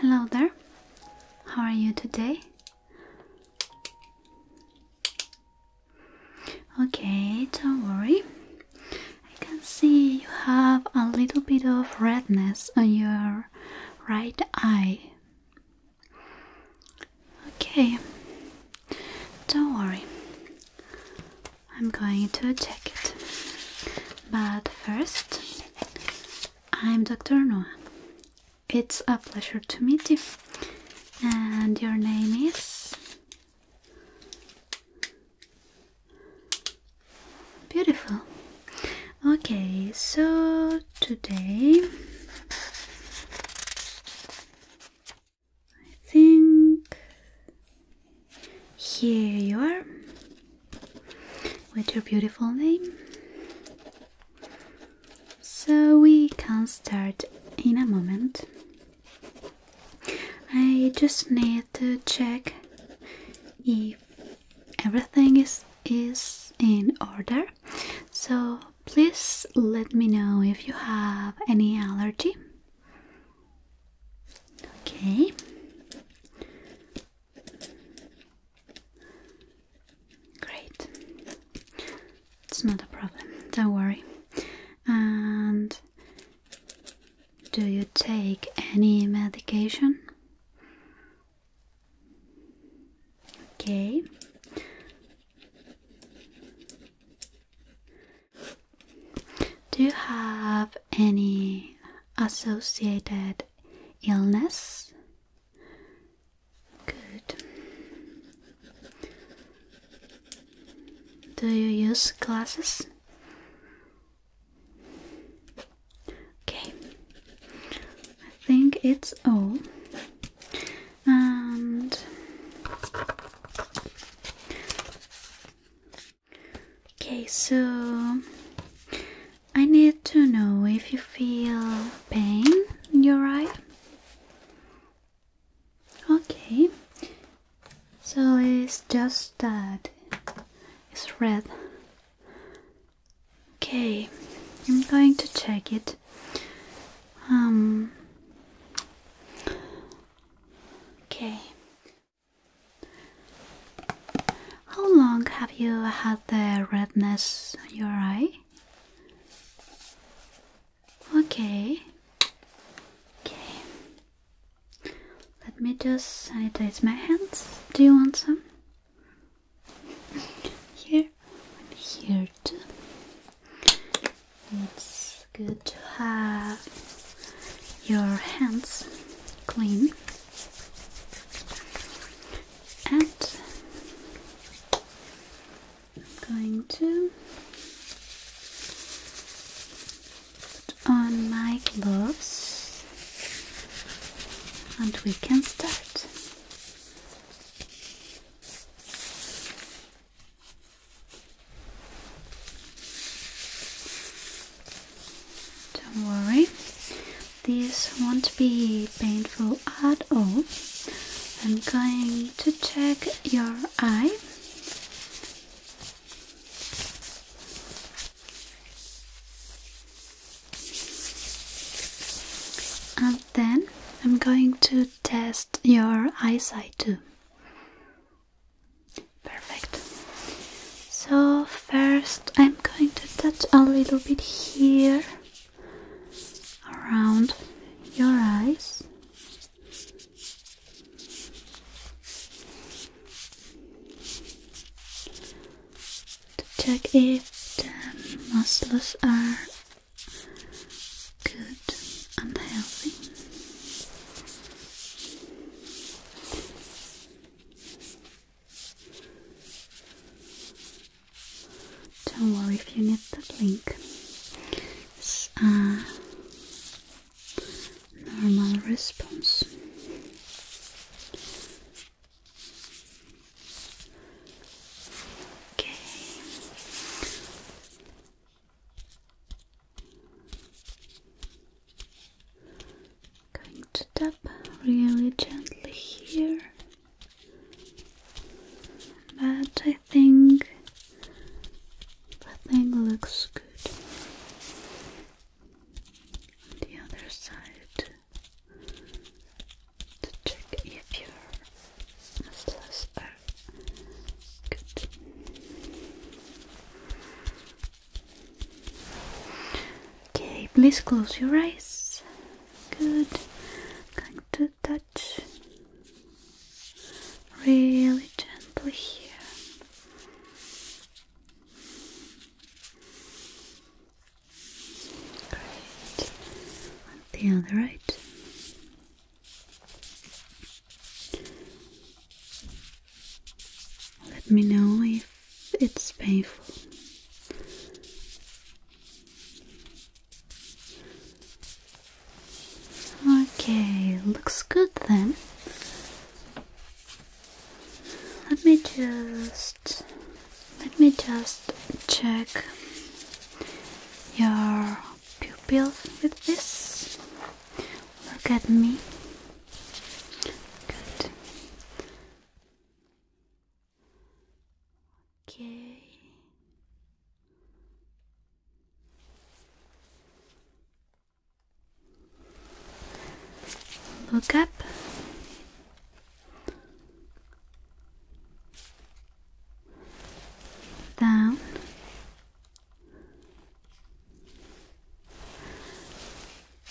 Hello there. How are you today? Okay, don't worry. I can see you have a little bit of redness on your right eye. Okay, don't worry. I'm going to check it. But first, I'm Dr. Noah. It's a pleasure to meet you. And your name is? Beautiful. Okay, so today I think here you are with your beautiful name. So we can start in a moment. I just need to check if everything is is in order. So please let me know if you have any allergy. Okay. Great. It's not a problem, don't worry. And do you take any medication? Okay. Do you have any associated illness. Good. Do you use glasses? Okay. I think it's all. And Okay, so I need to know if you feel pain in your eye. Okay, so it's just that it's red. Okay, I'm going to check it. Um, okay. How long have you had the redness in your eye? Okay. Okay. Let me just sanitize my hands. Do you want some? Here here too. It's good to have your hands clean and I'm going to put on my gloves and we can start. Don't worry, this won't be painful at all. I'm going to check your eye. And then I'm going to test your eyesight too. Perfect. So, first I'm going to touch a little bit here around your eyes. To check if the muscles are good and healthy. Don't worry if you need the link. normal response. Okay. Going to tap really gently here, but I think the thing looks good. the other side, to check if your muscles are good. Okay, please close your eyes. Good. I'm going to touch really gently here. Great. the other right. Let me know if it's painful. Okay, looks good then. Let me just let me just check your pupil with this. Look at me. Good. Okay. Look up. Down.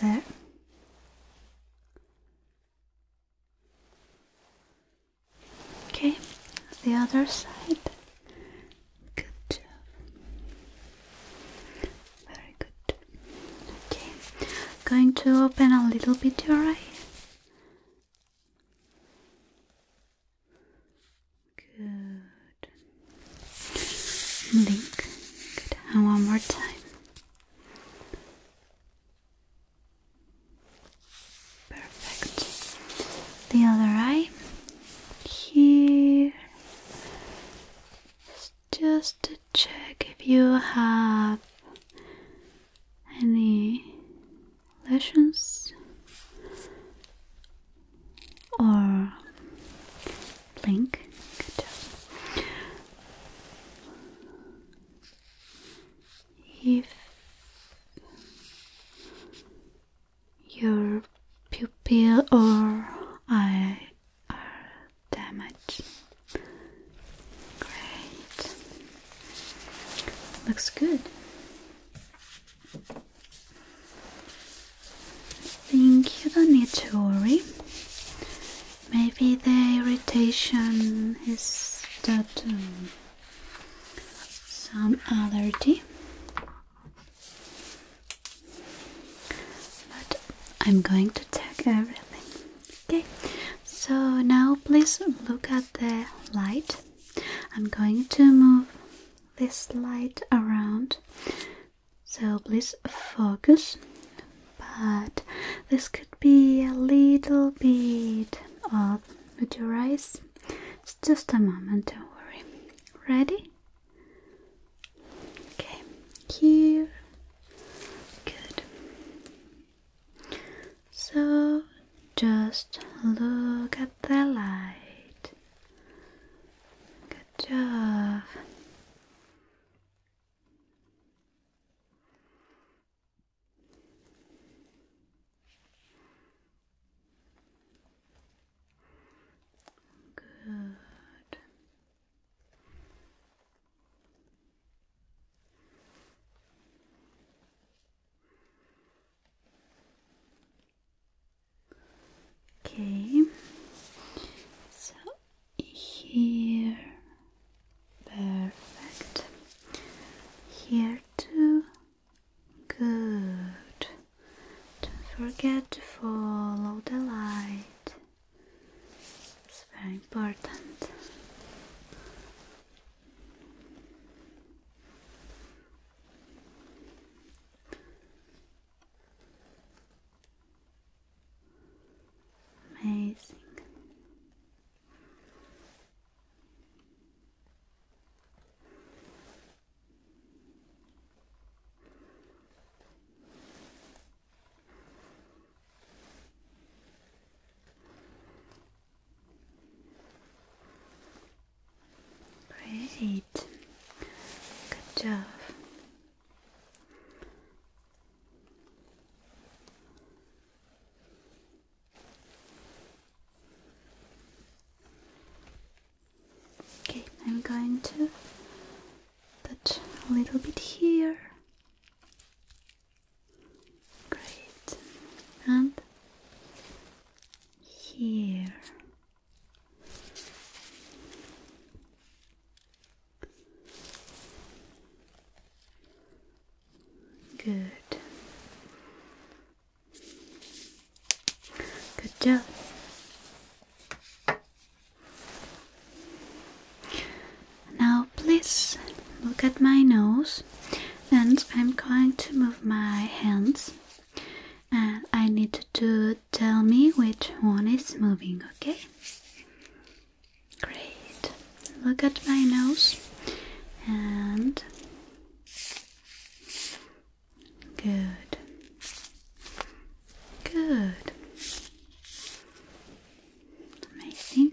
There. Okay, the other side. Good Very good. Okay, going to open a little bit your eye. Good. Blink. Good. And one more time. Perfect. The other eye here. Just to check if you have any lesions or Link. If your pupil or eye are damaged, great. Looks good. I think you don't need to worry. Maybe the irritation is that um, some allergy. But I'm going to check everything. Okay, so now please look at the light. I'm going to move this light around so please focus. But this could be a little bit of with your It's just a moment, don't worry. Ready? Okay, here. Good. So just look at the light. Good job. Good. Okay, so here perfect here too good don't forget to follow the light it's very important Amazing. Great. Good job. Okay, I'm going to touch a little bit here. Great. And here. Good. Good job. Now, please look at my nose, and I'm going to move my hands. And I need to tell me which one is moving, okay? Great. Look at my nose and good. Good. Amazing.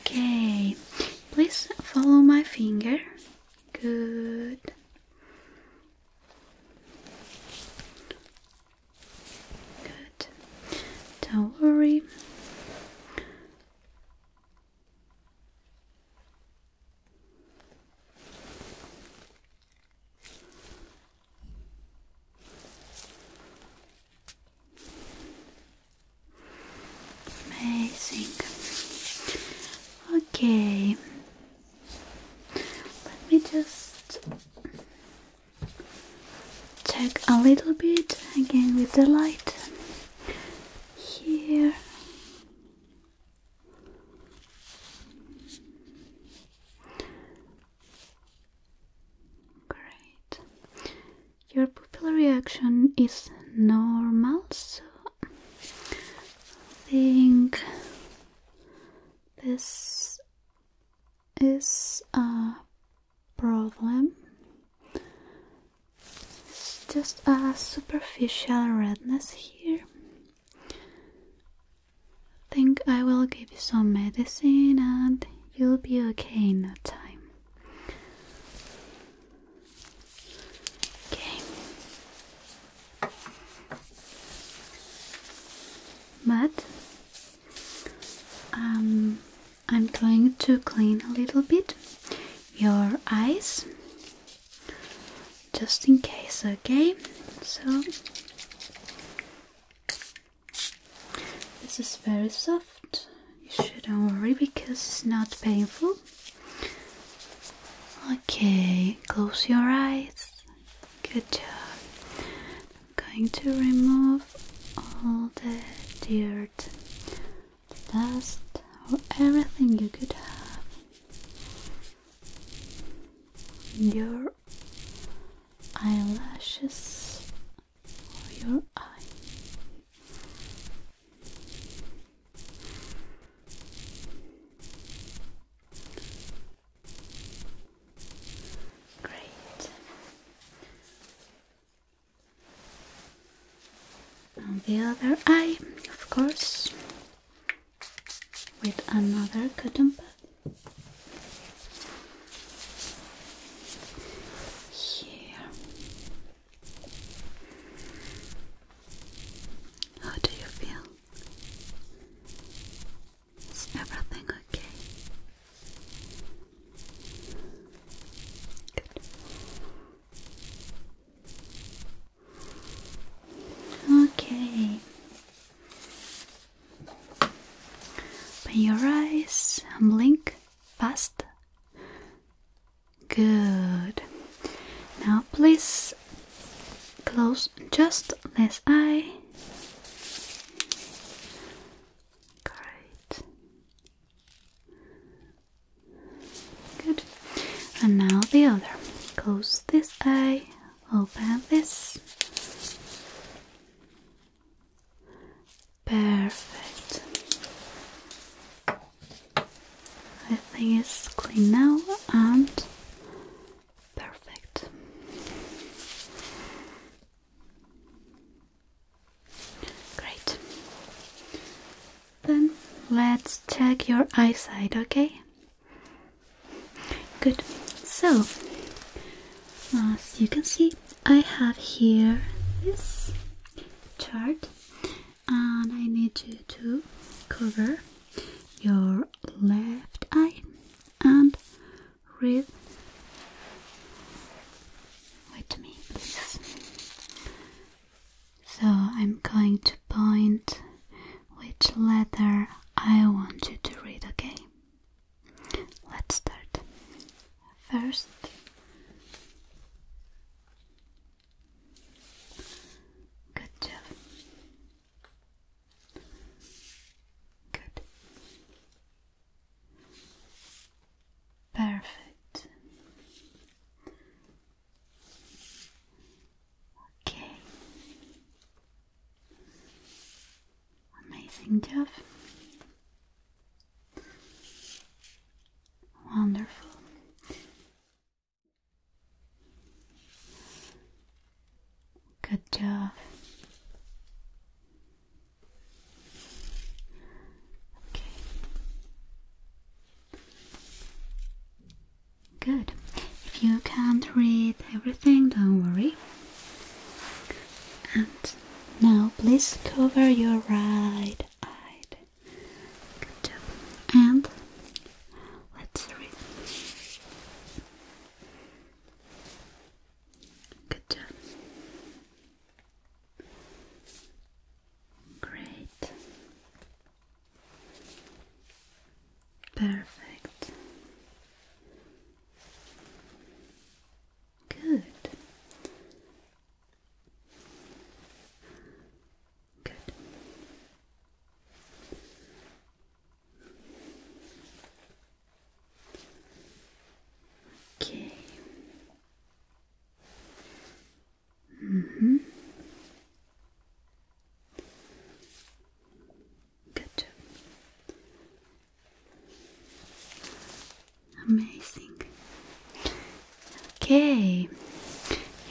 Okay, please follow my finger. Good. Good. Don't worry. Amazing. Okay. Let me just check a little bit again with the light here. Great. Your pupil reaction is normal, so I think this is a problem. just a superficial redness here. think I will give you some medicine and you'll be okay in no time. Okay. But um, I'm going to clean a little bit your eyes just in case, okay? So this is very soft. You shouldn't worry because it's not painful. Okay, close your eyes. Good job. I'm going to remove all the dirt, dust, or everything you could have in your eyelashes or your eye. Great. On the other eye, of course, with another cotton pad. Here how do you feel? Is everything okay? Good. Okay. Open your eyes and blink fast Good. Now please close just this eye. Great. Good. And now the other. Close this eye, open this. Perfect. Everything is clean now and perfect. Great. Then let's check your eyesight, okay? Good. So, as you can see, I have here this chart and I need you to cover your left eye and read with me please. So I'm going to point which letter I want you to read, okay? Let's start first good job good perfect okay amazing job Wonderful. Good job. Okay. Good. If you can't read everything, don't worry. And now please cover your right Good job. And let's read. Good job. Great. Perfect. Good. Good. Okay. Mm-hmm. Good. Amazing. Okay,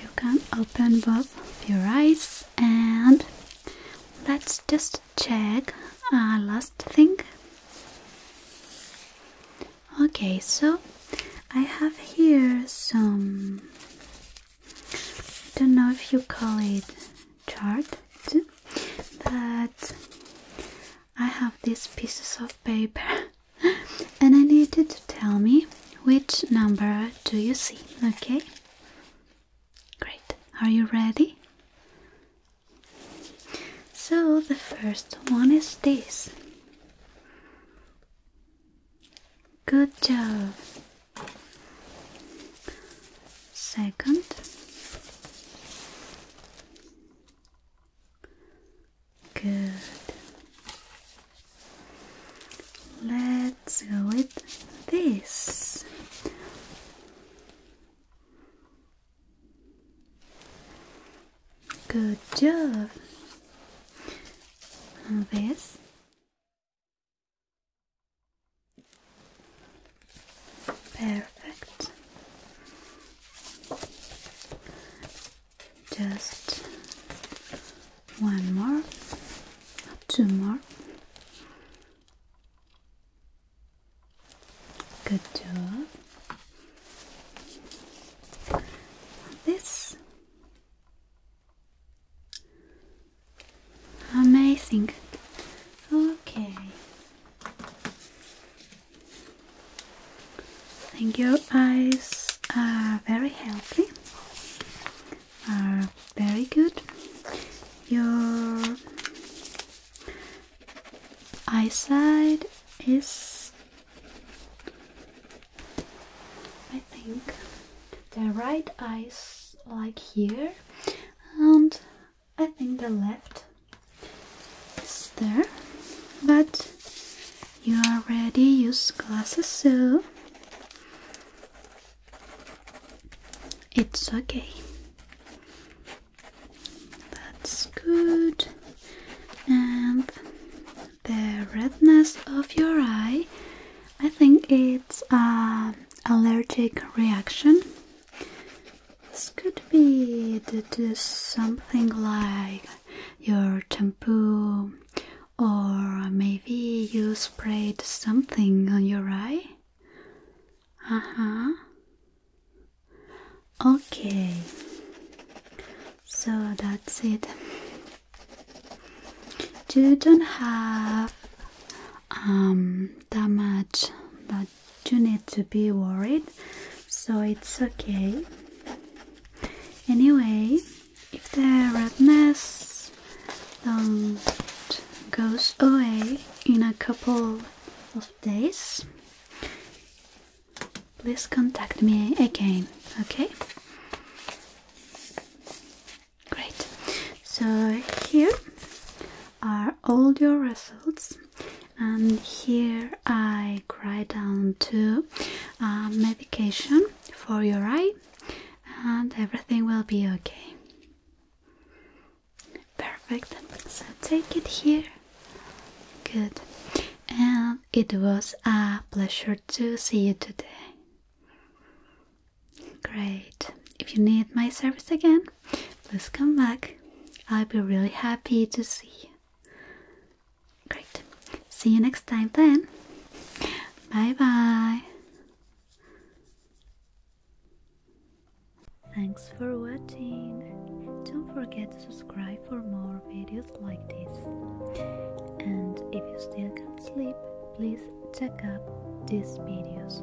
you can open both of your eyes and let's just check our last thing. Okay, so I have here some. I don't know if you call it chart, but I have these pieces of paper. and I need you to tell me which number do you see, okay? Great. Are you ready? So the first one is this. Good job. Second. Good. Let's go with this. Good job. this. Perfect just one more, two more. Good job. This amazing. Okay, and your eyes are uh, very healthy, are uh, very good. Your eyesight is, I think, the right eyes like here, and I think the left there, but you already use glasses, so it's okay. That's good. And the redness of your eye, I think it's an um, allergic reaction. This could be due to something like your shampoo or maybe you sprayed something on your eye? Uh-huh. Okay. So that's it. You don't have um that much that you need to be worried, so it's okay. Anyway, if the redness um, goes away in a couple of days, please contact me again, okay? Great. So here are all your results and here I write down to uh, medication for your eye and everything will be okay. Perfect. So take it here. Good. And it was a pleasure to see you today. Great. If you need my service again, please come back. I'll be really happy to see you. Great. See you next time then. Bye bye. Thanks for watching. Don't forget to subscribe for more videos like this. And if you still can't sleep, please check out these videos.